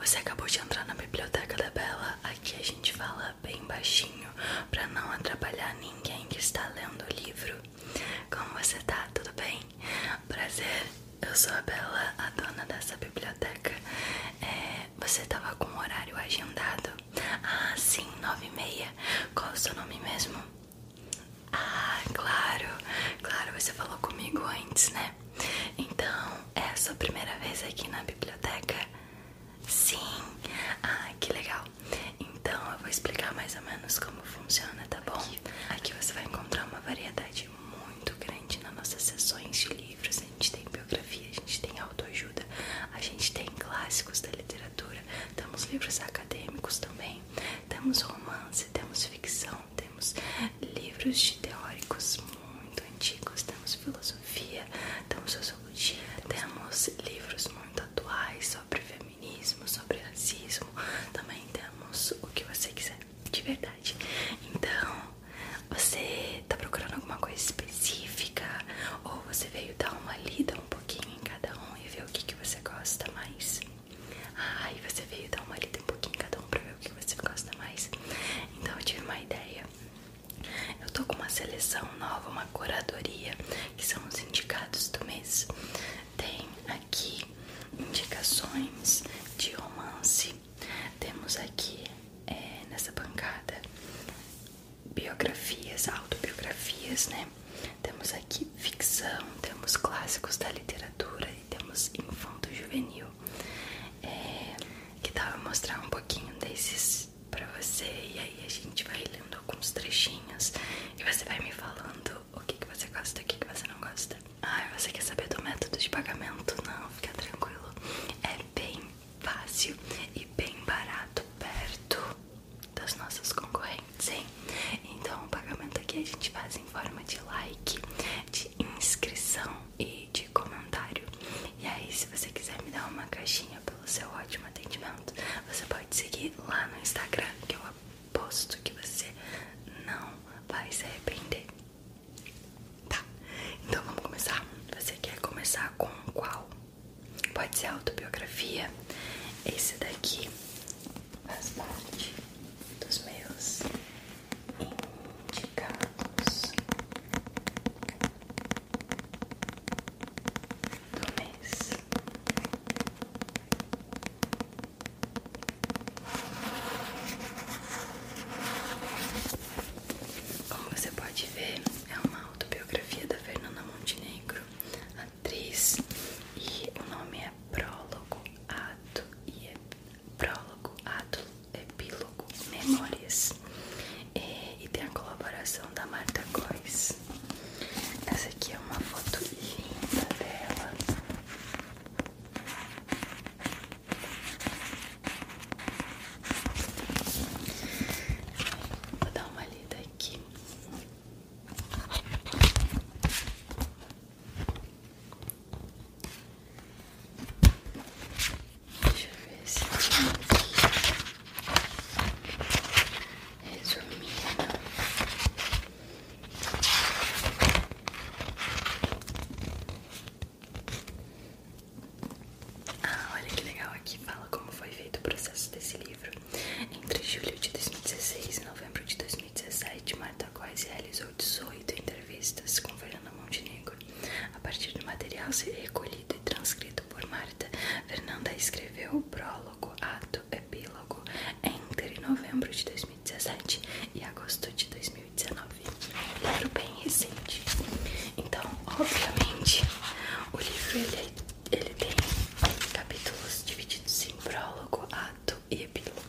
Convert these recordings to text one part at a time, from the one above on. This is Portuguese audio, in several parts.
Você acabou de entrar na biblioteca da Bela. Aqui a gente fala bem baixinho para não atrapalhar ninguém que está lendo o livro. Como você tá? Tudo bem? Prazer. Eu sou a Bela, a dona dessa biblioteca. É, você tava com o horário agendado? Ah, sim, nove e meia. Qual o seu nome mesmo? Ah, claro, claro, você falou comigo antes, né? É. Então, é a sua primeira vez aqui na biblioteca? Sim! Ah, que legal! Então, eu vou explicar mais ou menos como funciona, tá bom? Aqui você vai encontrar uma variedade muito grande nas nossas sessões de livros. A gente tem biografia, a gente tem autoajuda, a gente tem clássicos da literatura, temos livros acadêmicos também, temos romance, temos ficção, então, temos livros de teóricos muito antigos, temos filosofia, temos sociologia, temos livros muito atuais sobre feminismo, sobre racismo, também temos o que você quiser, de verdade. Então, você tá procurando alguma coisa específica ou você veio dar uma lida um pouquinho em cada um e ver o que, que você gosta mais? Ah, você veio dar uma lida um pouquinho cada um pra ver o que você gosta mais. Então eu tive uma ideia. Eu tô com uma seleção nova, uma curadoria, que são os indicados do mês. Tem aqui indicações de romance. Temos aqui é, nessa bancada biografias, autobiografias, né? Temos aqui ficção, temos clássicos da literatura temos Infanto Juvenil. É, que tal eu mostrar um pouquinho desses pra você? E aí a gente vai lendo alguns trechinhos e você vai me falando o que, que você gosta e o que, que você não gosta. Ah, você quer saber do método de pagamento? Não, fica tranquilo. É bem fácil e bem barato perto das nossas concorrentes, hein? Então o pagamento aqui a gente faz em forma de like, de inscrição e de comentário. E aí, se você quiser me dar uma caixinha pelo seu ótimo atendimento, você pode seguir lá no Instagram, que eu aposto que você não vai se arrepender. Tá, então vamos começar. Você quer começar com qual? Pode ser autobiografia. Esse daqui faz parte dos meus indicados do mês. Como você pode ver, é uma autobiografia da Fernanda Montenegro, atriz, e o nome é Prólogo Ato e é Prólogo Ato Epílogo Memórias é, e tem a colaboração da Marta Góes. Essa aqui é uma foto linda dela. Vou dar uma lida aqui. Deixa eu ver se tem aqui. Ah, olha que legal aqui fala como foi feito o processo desse livro. Entre julho de 2016 e novembro de 2017, Marta Góes realizou realizou 18 entrevistas com Fernando Montenegro. A partir do material recolhido e transcrito por Marta, Fernanda escreveu o prólogo, ato, epílogo entre novembro de 2017 e agosto de 2019. Um livro bem recente. Então, obviamente, o livro ele, é, ele tem capítulos divididos em prólogo, ato epílogo.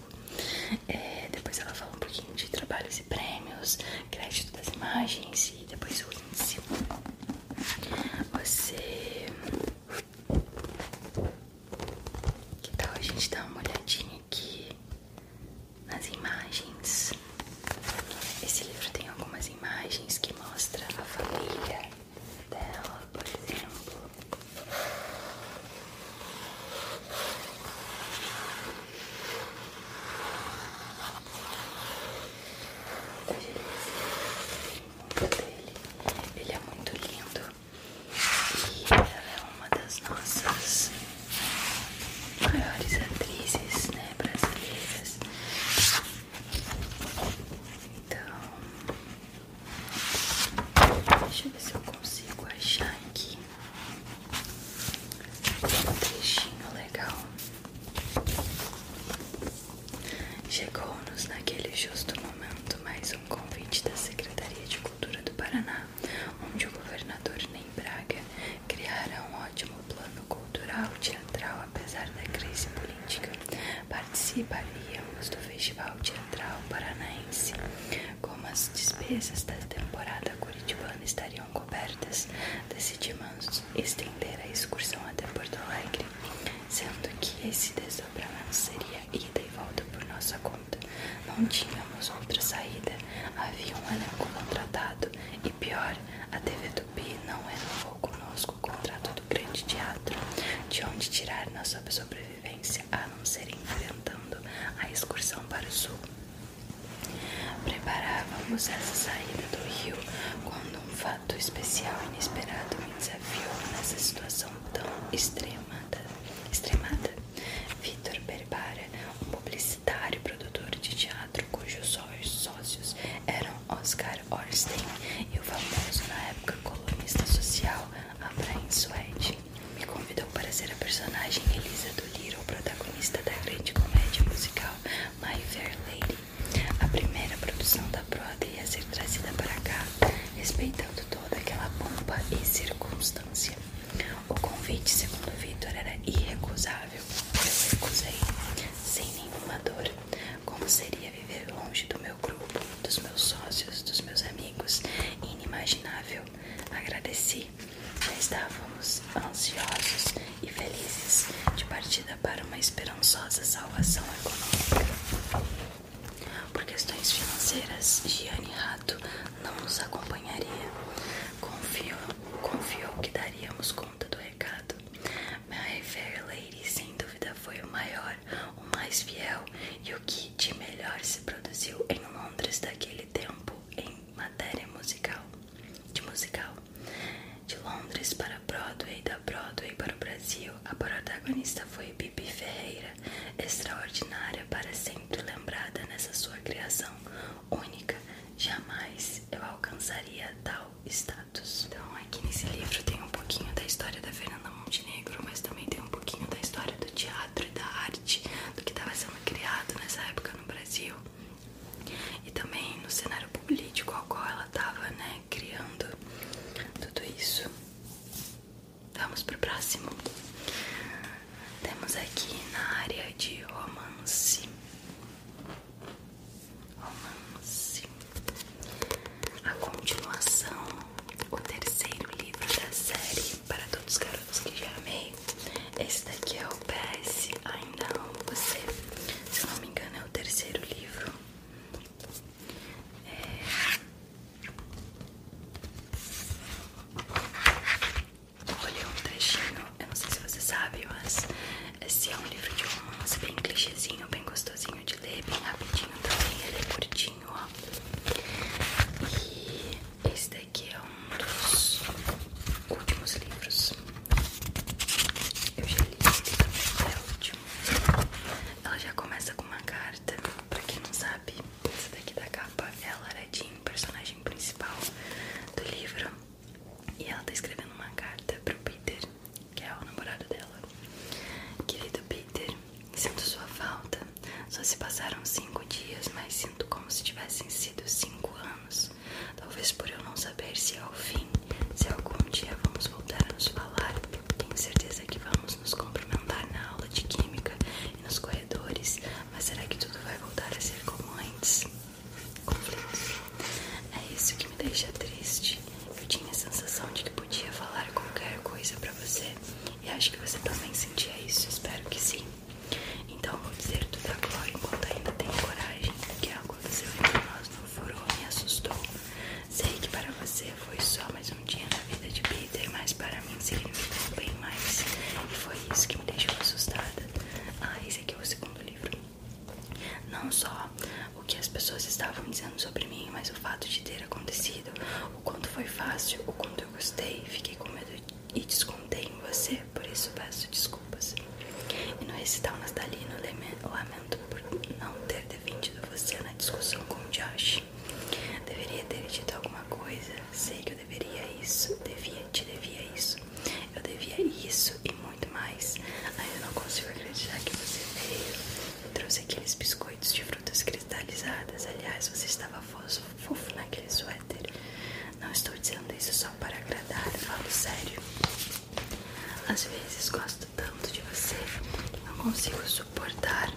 É, depois ela fala um pouquinho de trabalhos e prêmios, crédito das imagens e depois o índice. Você. Que tal a gente dar uma olhadinha aqui nas imagens? Esse livro tem algumas imagens que mostra a família dela, por exemplo. Ele é muito lindo e ela é uma das nossas maiores atrizes, né, brasileiras. Então, deixa eu ver se eu consigo achar aqui um trechinho legal. Chegou-nos naquele justo momento mais um convite da Secretaria de Cultura do Paraná, onde o governador Ney Braga criará um ótimo plano cultural teatral apesar da crise política. Participaríamos do Festival Teatral Paranaense como as despesas da temporada curitibana estariam cobertas, decidimos estender a excursão até Porto Alegre, sendo que esse desdobramento seria ida e volta por nossa conta. Não tínhamos outra saída, havia um elenco contratado e, pior, a TV do Tupi não renovou conosco o contrato do grande teatro, de onde tirar nossa sobrevivência a não ser enfrentando a excursão para o sul. Preparávamos essa saída do rio quando um fato especial e inesperado me desafiou nessa situação tão extremada. extremada. Vitor Berbara, um publicitário e produtor de teatro cujos sócios eram Oscar Orstein e o famoso na época colunista social Abraham Swede me convidou para ser a personagem Elisa do Doolittle, protagonista da grande comédia musical My Fair Lady, a primeira produção da Broadway a ser trazida para cá, respeitando toda aquela pompa e circunstância. O convite, segundo Victor, era irrecusável. Eu recusei, sem nenhuma dor. Como seria viver longe do meu grupo, dos meus sócios, dos meus amigos? Inimaginável. Agradeci noite. estávamos ansiosos e felizes de partida para uma esperançosa salvação econômica. Por questões financeiras, Gianni Rato não nos acompanharia. Confio, confiou que daríamos conta do recado. My Fair Lady, sem dúvida, foi o maior, o mais fiel e o que de melhor se produziu em Londres daquele tempo em matéria musical, de musical, de Londres para Broadway, da Broadway para o Brasil. A protagonista foi Bibi Ferreira, extraordinária para sempre lembrada nessa sua criação única. Jamais eu alcançaria tal status. Então, aqui nesse livro tem um pouquinho da história da Fernanda Montenegro, mas também tem um pouquinho da história do teatro e da arte, do que estava sendo criado nessa época no Brasil e também no cenário político ao qual ela estava, né, criando tudo isso. Vamos pro próximo. Temos aqui na área de romance. Romance. A continuação, o terceiro livro da série para todos os que já amei. Esse daqui é o PS Ainda Amo Você. Se eu não me engano, é o terceiro livro. É... Olha um trechinho. Eu não sei se você sabe, mas esse é um livro de romance bem clichêzinho, bem gostosinho de ler, bem rapidinho também. Ele é curtinho, ó. E esse daqui é um dos últimos livros. Eu já li ele também, é o último. Ela já começa com uma carta. Pra quem não sabe, essa daqui da capa é a Jean, personagem principal do livro. E ela tá escrevendo uma carta pro Peter, que é o namorado dela. Querido é Peter, sinto sua falta. Só se passaram cinco dias, mas sinto como se tivessem sido cinco anos. Talvez por eu não saber se ao é fim, se algum dia vamos voltar a nos falar. Tenho certeza que vamos nos cumprimentar na aula de química e nos corredores, mas será que tudo vai voltar a ser como antes? Conflitos. É isso que me deixa triste. Eu tinha a sensação de que podia falar qualquer coisa para você e acho que você também sentia isso. Espero que sim. Então vou dizer tudo agora enquanto ainda tenho coragem do que aconteceu entre nós não furou, me assustou. Sei que para você foi só mais um dia na vida de Peter, mas para mim significou bem mais. E foi isso que me deixou assustada. Ah, esse aqui é o segundo livro. Não só o que as pessoas estavam dizendo sobre mim, mas o fato de ter acontecido, o quanto foi fácil, o quanto eu gostei, fiquei com medo e descontei em você, por isso peço desculpas. E no recital Nastalino lamento por não ter defendido você na discussão com o Josh. Deveria ter dito alguma coisa, sei que eu deveria isso, devia, te devia isso, eu devia isso e muito mais. Ainda não consigo acreditar que você veio e trouxe aqueles biscoitos de frutas cristalizadas. Aliás, você estava fofo naquele suéter. Não estou dizendo isso só para agradar, falo sério. Às vezes gosto tanto de você, que não consigo suportar.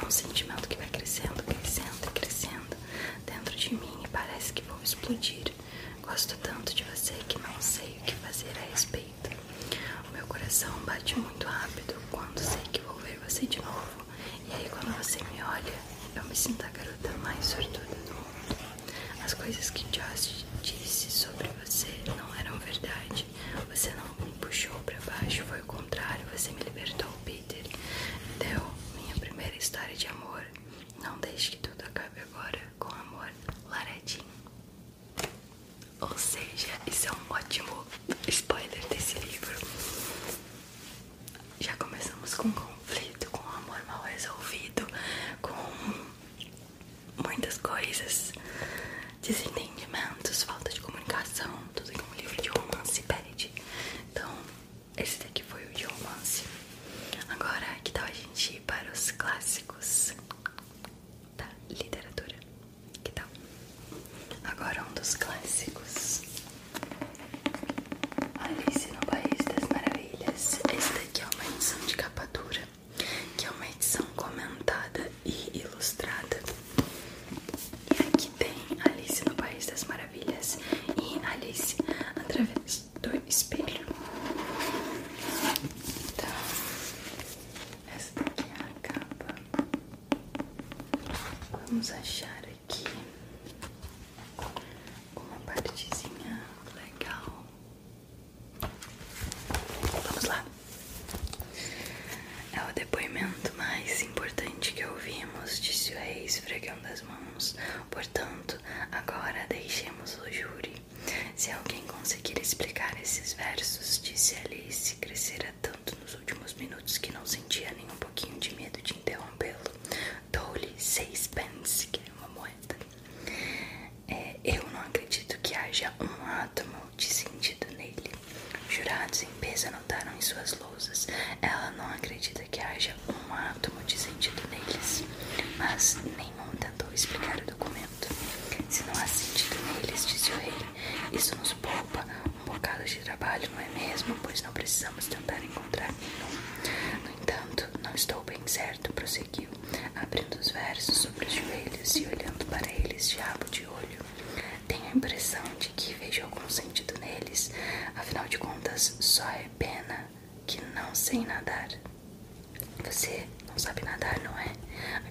É um sentimento que vai crescendo, crescendo, crescendo dentro de mim e parece que vou explodir. Gosto tanto de você que não sei o que fazer a respeito. O meu coração bate muito rápido quando sei que vou ver você de novo e aí quando você me olha, eu me sinto a garota mais sortuda do mundo. As coisas que Josh disse sobre você não eram verdade. Você não me puxou para baixo, foi o contrário, você me libertou, Peter. Deu minha primeira história de amor. Não deixe que tudo acabe agora com amor, Laredin. Ou seja, isso é um ótimo spoiler desse livro já começamos com conflito, com amor mal resolvido, com muitas coisas, desentendimentos, falta de comunicação, tudo que um livro de romance pede. Então, esse daqui foi o de romance. Agora, que tal a gente ir para os clássicos da literatura? Que tal? Agora um dos clássicos Alice no País das Maravilhas. Essa daqui é uma edição de capa dura, que é uma edição comentada e ilustrada. E aqui tem Alice no País das Maravilhas e Alice através do espelho. Então, essa daqui é a capa. Vamos achar aqui uma partezinha legal. Vamos lá. É o depoimento mais importante que ouvimos, disse o rei esfregando das mãos. Portanto, agora deixemos o júri. Se alguém conseguir explicar esses versos, disse Alice, crescera tanto nos últimos minutos que não sentia nem um pouquinho de medo de interrompê-lo. Dou-lhe seis pence, que é uma moeda. É, eu não acredito que haja um átomo de sentido nele. Jurados em peso anotaram em suas lousas. Ela não acredita que haja um átomo de sentido neles. Mas nenhum tentou explicar o documento. Se não há sentido neles, disse o rei, isso nos poupa um bocado de trabalho, não é mesmo? Pois não precisamos vamos tentar encontrar nenhum. No entanto, não estou bem certo, prosseguiu, abrindo os versos sobre os joelhos e olhando para eles diabo de olho. Tenho a impressão de que vejo algum sentido neles, afinal de contas, só é pena que não sei nadar. Você não sabe nadar, não é?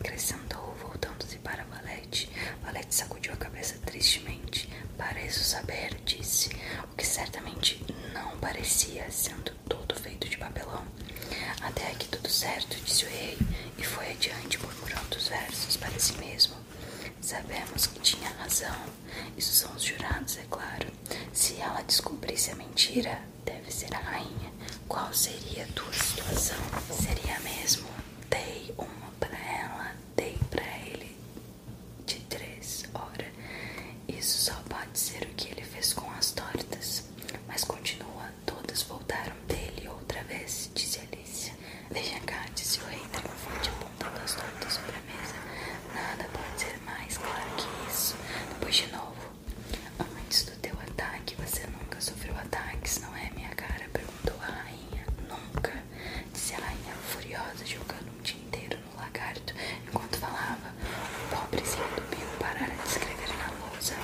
Acrescentou, voltando-se para Valete. Valete sacudiu a cabeça tristemente. Pareço saber, disse o que certamente não parecia sendo todo feito de papelão. Até aqui tudo certo, disse o rei, e foi adiante murmurando os versos para si mesmo. Sabemos que tinha razão, isso são os jurados, é claro. Se ela descobrisse a mentira, deve ser a rainha. Qual seria a tua situação? Seria mesmo? Dei uma para ela, dei para ele, de três horas. Isso só pode ser o que ele fez com as tortas. Mas continua, todas voltaram dele outra vez, disse Alice. Deixa cá, disse o rei triunfante, apontando as tortas sobre a mesa. Nada pode ser mais claro que isso. Depois de novo. Antes do teu ataque, você nunca sofreu ataques, não é, minha cara? Perguntou a rainha. Nunca disse a rainha furiosa jogando um tinteiro no lagarto enquanto falava. O pobrezinho do Bill parara de escrever na lousa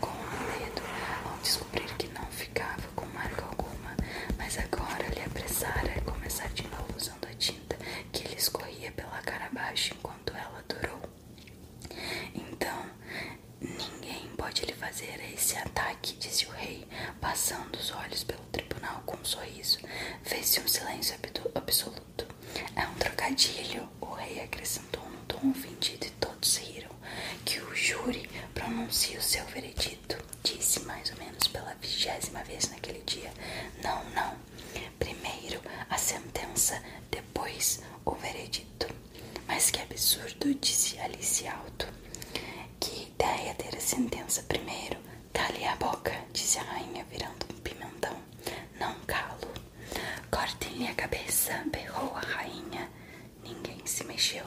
com um dedo ao descobrir que não ficava com marca alguma, mas agora lhe apressara a começar de novo usando a tinta que lhe escorria pela cara abaixo enquanto ela durou. Então, ninguém pode lhe fazer esse ataque, disse o rei, passando os olhos pelo o tribunal com um sorriso. Fez-se um silêncio absoluto. É um trocadilho, o rei acrescentou num tom ofendido e todos riram. Que o júri pronuncie o seu veredito, disse mais ou menos pela vigésima vez naquele dia. Não, não. Primeiro a sentença, depois o veredito. Mas que absurdo, disse Alice alto. Que ideia ter a sentença primeiro, Cale tá a boca, disse a rainha, virando um pimentão. Não calo. Cortem-lhe a cabeça, berrou a rainha. Ninguém se mexeu.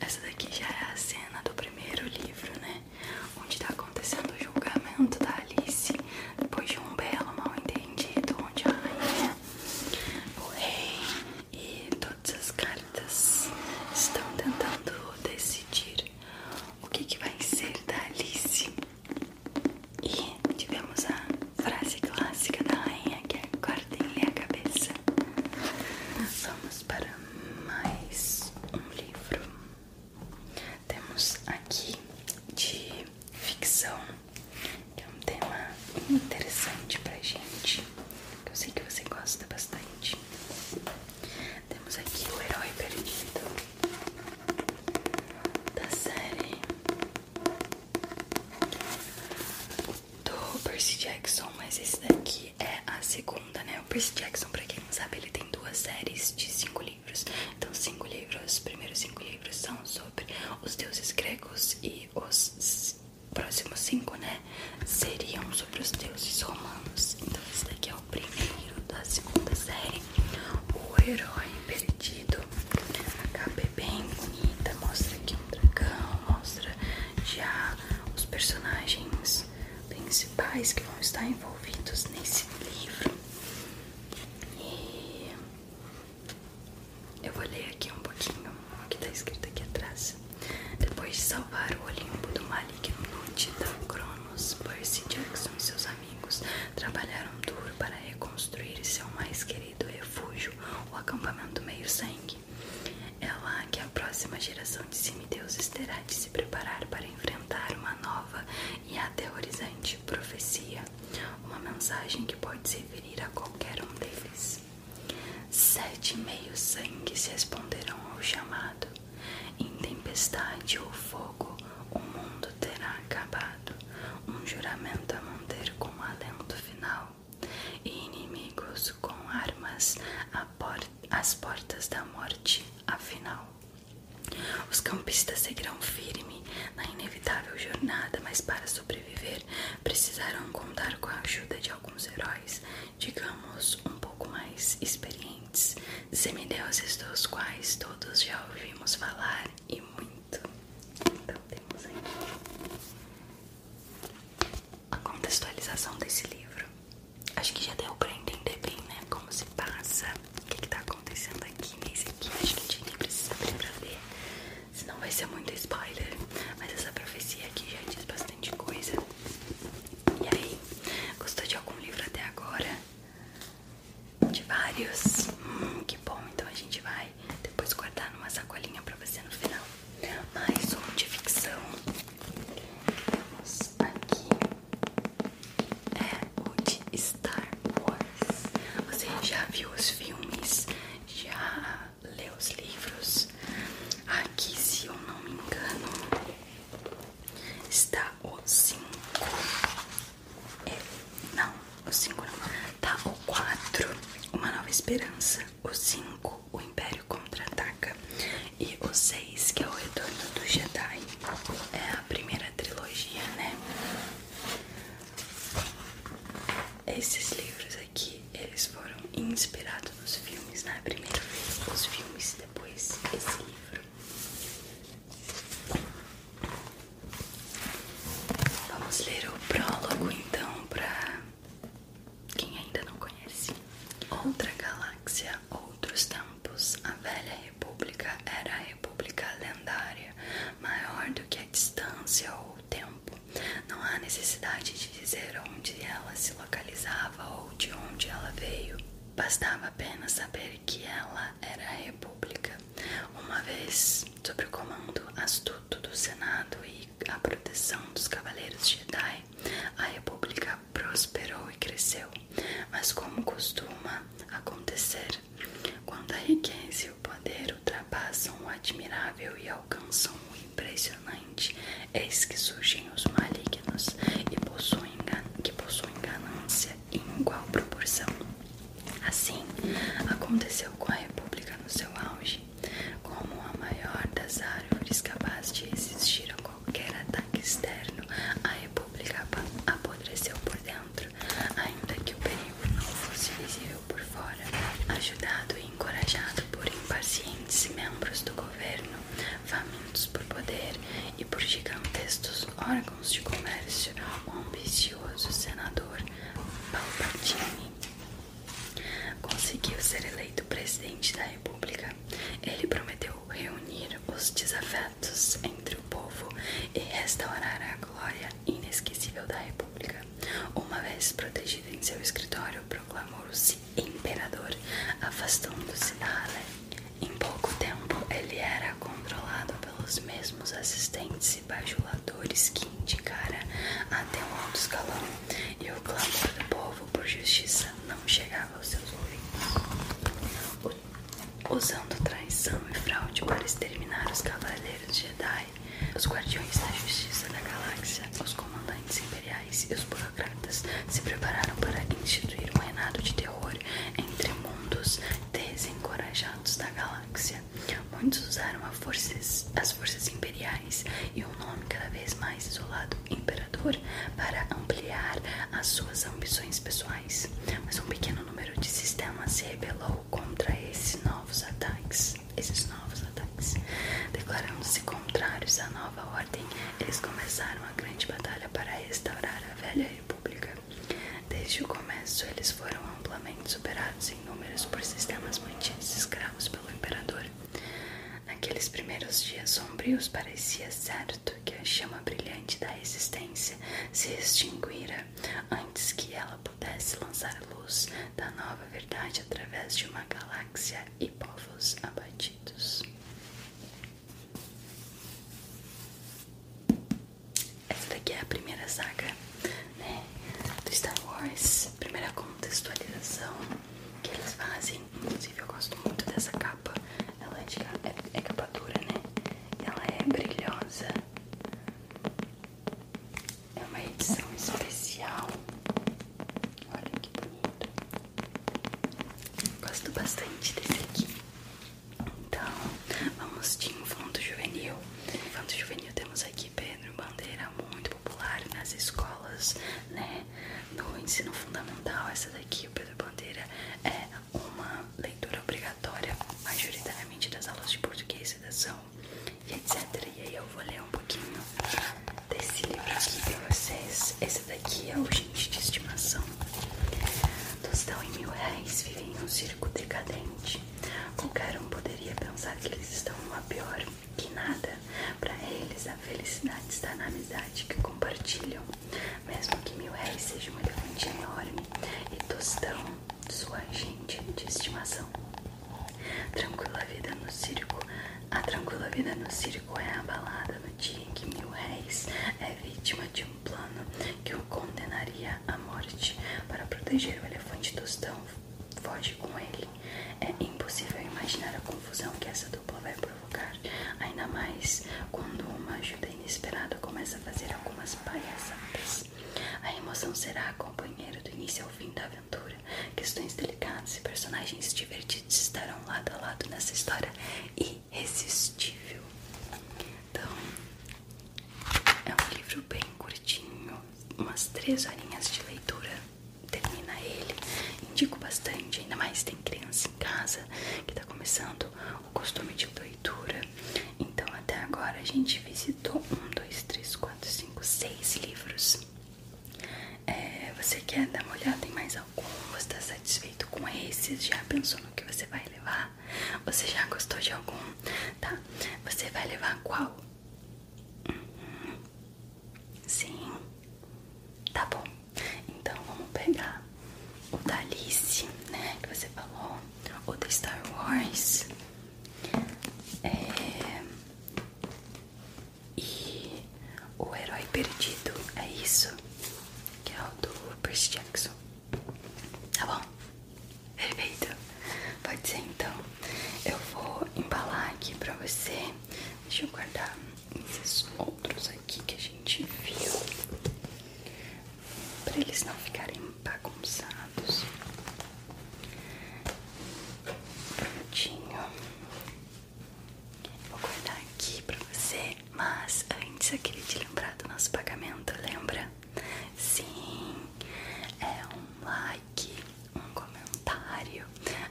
Essa daqui já é a cena do primeiro livro, né? Onde tá acontecendo o julgamento da Alice, depois de um belo mal entendido, onde a rainha, o rei e todas as cartas estão tentando decidir o que, vai ser da Alice. E tivemos a frase clássica da rainha que é guardem-lhe a cabeça. Vamos para mais um livro. Temos aqui de ficção, que é um tema interessante pra gente que eu sei que você gosta bastante. Temos aqui o herói perdido da série do Percy Jackson, mas esse daqui é a segunda, né? O Percy Jackson, pra quem não sabe, ele tem duas séries de cinco livros. Então, cinco livros, os primeiros cinco livros são sobre os deuses gregos e os próximos cinco, né? Seriam sobre os deuses romanos. Então, esse daqui é o primeiro da segunda série. O Herói Perdido. A capa bem bonita. Mostra aqui um dragão. Mostra já os personagens principais que vão estar envolvidos nesse livro. E eu vou ler aqui um pouquinho o que tá escrito aqui atrás. Depois de salvar o Olimpo do maligno Titã Cronos, Percy Jackson e seus amigos trabalharam duro para reconstruir seu mais querido refúgio, o acampamento meio-sangue. É lá que a próxima geração de semideuses terá de se preparar para enfrentar uma nova e aterrorizante profecia, uma mensagem que pode se referir a qualquer um deles. Sete meios sangues responderão ao chamado. Em tempestade ou fogo, o mundo terá acabado. Um juramento a manter com alento final. E inimigos com armas às portas da morte, afinal. Os campistas seguirão firme na inevitável jornada, mas para sobreviver precisarão contar com a ajuda de alguns heróis digamos, um pouco mais experientes, semideuses dos quais todos já ouvimos falar e muito. Então temos aqui a contextualização desse livro. Acho que já deu pra entender bem, né? Como se passa, o que, que tá acontecendo aqui nesse aqui. Acho que a gente nem precisa abrir pra ver, senão vai ser muito spoiler. Mas essa profecia aqui já diz bastante coisa. E aí, gostou de algum livro até agora? De vários? Hum, que bom, então a gente vai depois guardar numa sacolinha pra você no final. Mais um de ficção. Temos aqui é o de Star Wars. Você já viu os filmes? Já ela os livros. Aqui, se eu não me engano, está o 5. É, não, o 5 não. Tá o 4, Uma Nova Esperança. O 5, O Império Contra-Ataca. E o 6, que é o Retorno do Jedi. É a primeira trilogia, né? Esses livros que eles foram inspirados nos filmes, né? Primeiro os filmes, depois esse livro. Vamos ler o prólogo então para quem ainda não conhece. Outra galáxia, outros tempos. A velha república era a república lendária, maior do que a distância ou o tempo. Não há necessidade de dizer onde ela se localizava ou de onde ela veio. Bastava apenas saber que ela era a República, uma vez sob o comando astuto do Senado e a proteção dos Cavaleiros Jedi. A República prosperou e cresceu, mas como costuma acontecer, quando a riqueza e o poder ultrapassam o admirável e alcançam o impressionante, eis que surgem os malignos e possuem, que possuem ganância em igual proporção. Assim, aconteceu com a República no seu auge, como a maior das árvores capaz de resistir a qualquer ataque externo, a República apodreceu por dentro, ainda que o perigo não fosse visível por fora, ajudado encorajado por impacientes membros do governo, famintos por poder e por gigantescos órgãos de comércio, o ambicioso senador Palpatine conseguiu ser eleito presidente da República. Ele prometeu reunir os desafetos entre o povo e restaurar a glória inesquecível da República. Uma vez protegido em seu escritório, proclamou se imperador, afastando-se da ah, Halé. Né? Em pouco tempo, ele era controlado pelos mesmos assistentes e bajuladores que indicara até o alto escalão, e o clamor do povo por justiça não chegava aos seus ouvidos. Usando traição e fraude para exterminar os cavaleiros Jedi, os guardiões da justiça da galáxia, os comandantes imperiais e os Sokratas se prepararam para instituir um reinado de terror entre mundos desencorajados da galáxia. Muitos usaram as forças, imperiais e o nome cada vez mais isolado, Imperador, para ampliar as suas ambições pessoais. Mas um pequeno número de sistemas se rebelou contra esses novos ataques, esses novos ataques, declarando-se contrários à nova ordem eles começaram a grande batalha para restaurar a velha república. Desde o começo, eles foram amplamente superados em números por sistemas mantidos escravos pelo imperador. Naqueles primeiros dias sombrios, parecia certo que a chama brilhante da existência se extinguira antes que ela pudesse lançar a luz da nova verdade através de uma galáxia e povos abatidos. Essa daqui é a primeira saga né, do Star Wars, primeira contextualização que eles fazem. Inclusive, eu gosto muito dessa capa. Ela é, é, é capa dura, né? Ela é brilhosa. É uma edição especial. Olha que bonito. Gosto bastante desse aqui. Então, vamos de infanto juvenil. Infanto juvenil temos aqui Pedro Bandeira, muito popular nas escolas, né? No ensino fundamental, essa daqui, o Pedro Bandeira, é uma leitura obrigatória, majoritariamente das aulas de português, redação e etc. E aí eu vou ler um pouquinho desse livro aqui pra vocês. Esse daqui é o Gente de Estimação. Tostão e mil réis vivem em um circo decadente. Qualquer um poderia pensar que eles estão numa pior que nada. Para eles, a felicidade está na amizade que compartilham. Mesmo que mil réis seja um elefante enorme e Tostão, sua gente de estimação. Tranquila vida no circo a tranquila vida no circo é abalada no dia em que mil réis é vítima de um plano que o condenaria à morte. Para proteger o elefante tostão, foge com ele. É impossível imaginar a confusão que essa dupla vai provocar, ainda mais quando uma ajuda inesperada começa a fazer algumas palhaçadas. A emoção será a companheira do início ao fim da aventura. Questões delicadas e personagens divertidos estarão lado a lado nessa história irresistível. Então, é um livro bem curtinho, umas três horinhas de leitura. Termina ele. Indico bastante, ainda mais tem criança em casa que tá começando o costume de leitura. Então, até agora a gente visitou um, dois, três, quatro, cinco, seis livros. É, você quer dar uma olhada em mais algum? Você está satisfeito com esses? Já pensou no que você vai levar? Você já gostou de algum? Tá? Você vai levar qual? Uhum. Sim. Tá bom. Então vamos pegar o da Alice, né? Que você falou. O da Star Wars. É... E o herói perdido é isso, que é o do Percy Jackson. Tá bom? Perfeito. Pode ser então. Eu vou embalar aqui pra você. Deixa eu guardar esses outros aqui que a gente viu. Pra eles não ficarem bagunçados. Prontinho. Vou guardar aqui pra você, mas antes eu queria te lembrar do nosso pagamento, lembra? Sim, é um like, um comentário,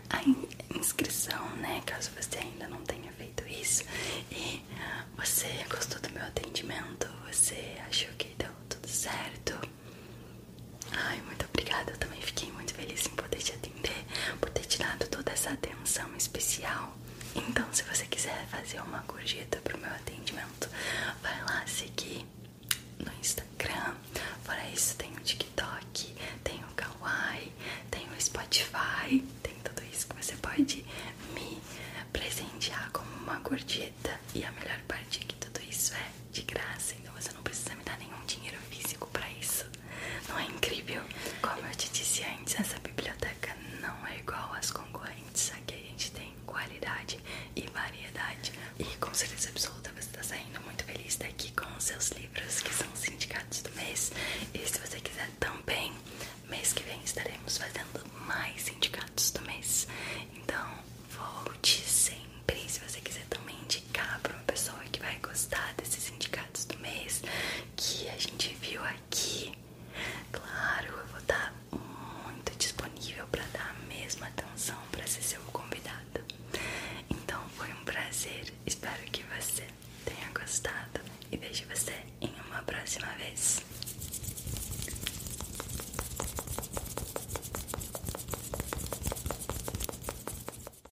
a inscrição, né? Caso você ainda não tenha feito isso e você gostou do meu atendimento, você achou que deu tudo certo. Ai, muito obrigada, eu também fiquei muito feliz em poder te atender por ter tirado toda essa atenção especial. Então, se você quiser fazer uma gorjeta pro meu atendimento, vai lá seguir no Instagram. Fora isso, tem o TikTok, tem o Kawaii, tem o Spotify, tem tudo isso que você pode me presentear como uma gorjeta. E a melhor parte é que tudo isso é de graça, então você não precisa me dar nenhum dinheiro físico para isso. Não é incrível? Como eu te disse antes, essa biblioteca não é igual às concorrentes. Aqui a gente tem qualidade e variedade. E com certeza absoluta você está saindo muito feliz daqui com os seus livros que são os do mês. E se você quiser também, mês que vem estaremos fazendo mais indicados do mês. Então volte sempre se você quiser também indicar para uma pessoa que vai gostar desse indicados do mês que a gente viu aqui. Claro, eu vou estar muito disponível para dar a mesma atenção para ser seu convidado. Então foi um prazer, espero que você tenha gostado e vejo você em uma próxima vez.